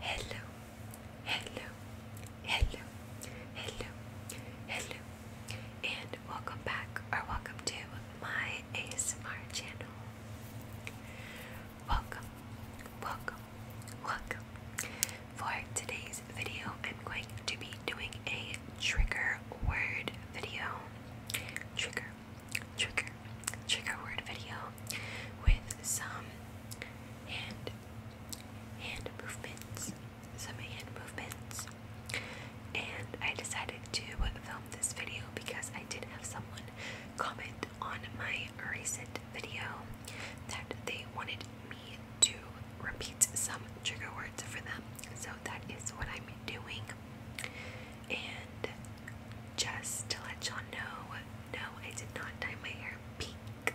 Hello, hello, hello, hello, hello, and welcome back or welcome to my ASMR channel. Welcome, welcome, welcome. For today's video, I'm going to be doing a trigger word video. Trigger, trigger, trigger word video with some hand, hand movements, some hand movements. And I decided to film this video because I did have someone comment on my recent video that they wanted me to repeat some trigger words for them. So that is what I'm doing. And just to let y'all know, no, I did not dye my hair pink.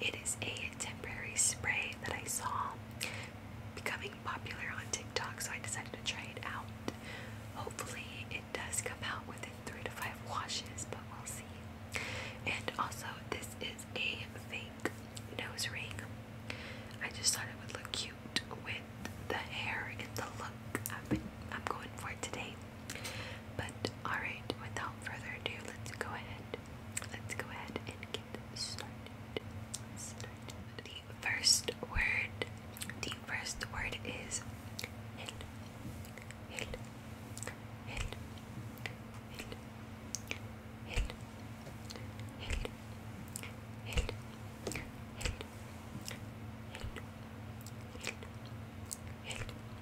It is a temporary spray that I saw becoming popular on TikTok, so I decided to try it out. Hopefully, it does come out within three to five washes, but we'll see. And also, this is a fake nose ring. I just thought it would look cute with the hair and the look I'm going for today. But alright, without further ado, let's go ahead. Let's go ahead and get started. Started. The first word. The first word is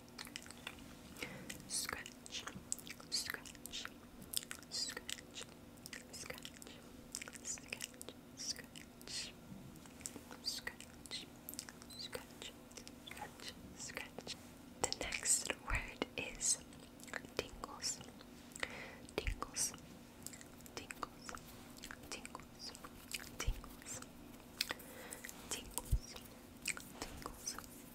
Scratch, scratch, scratch, scratch, scratch, scratch, scratch, scratch, scratch, The next word is tingles, tingles, tingles, tingles, tingles, tingles, tingles,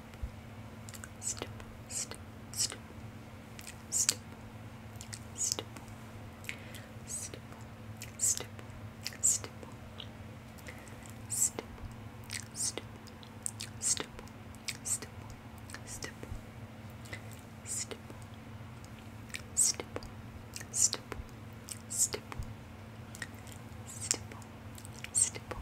step, step, step, step, step, step, step, step, step, step, step, step, step, step, step, step, step, step, stipple, stipple, stipple,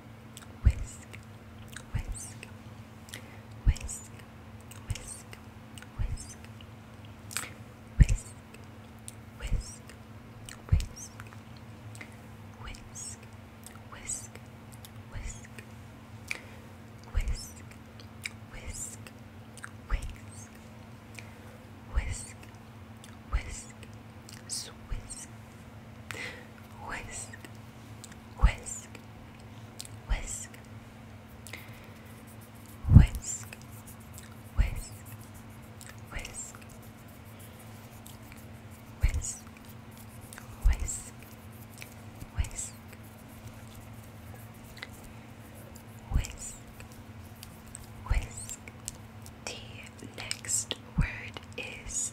Whisk, whisk, whisk, whisk, whisk, whisk, whisk, whisk, whisk, whisk, whisk, whisk, whisk, whisk, whisk, whisk, whisk, whisk, whisk, whisk, whisk, whisk, whisk, whisk. The next word is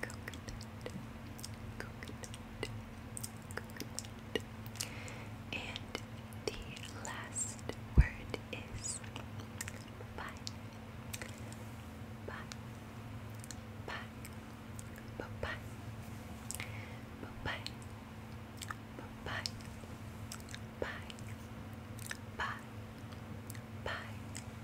coconut, coconut, And the last word is bye, bye, bye, bye, bye, bye, bye, bye, bye, bye, bye.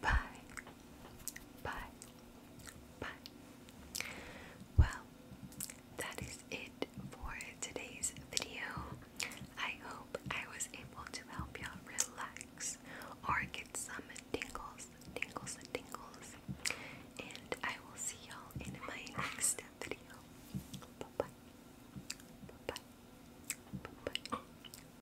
Bye. Bye. Bye. Well, that is it for today's video. I hope I was able to help y'all relax or get some tingles, tingles, tingles. And I will see y'all in my next video. bye. Bye bye. Bye bye.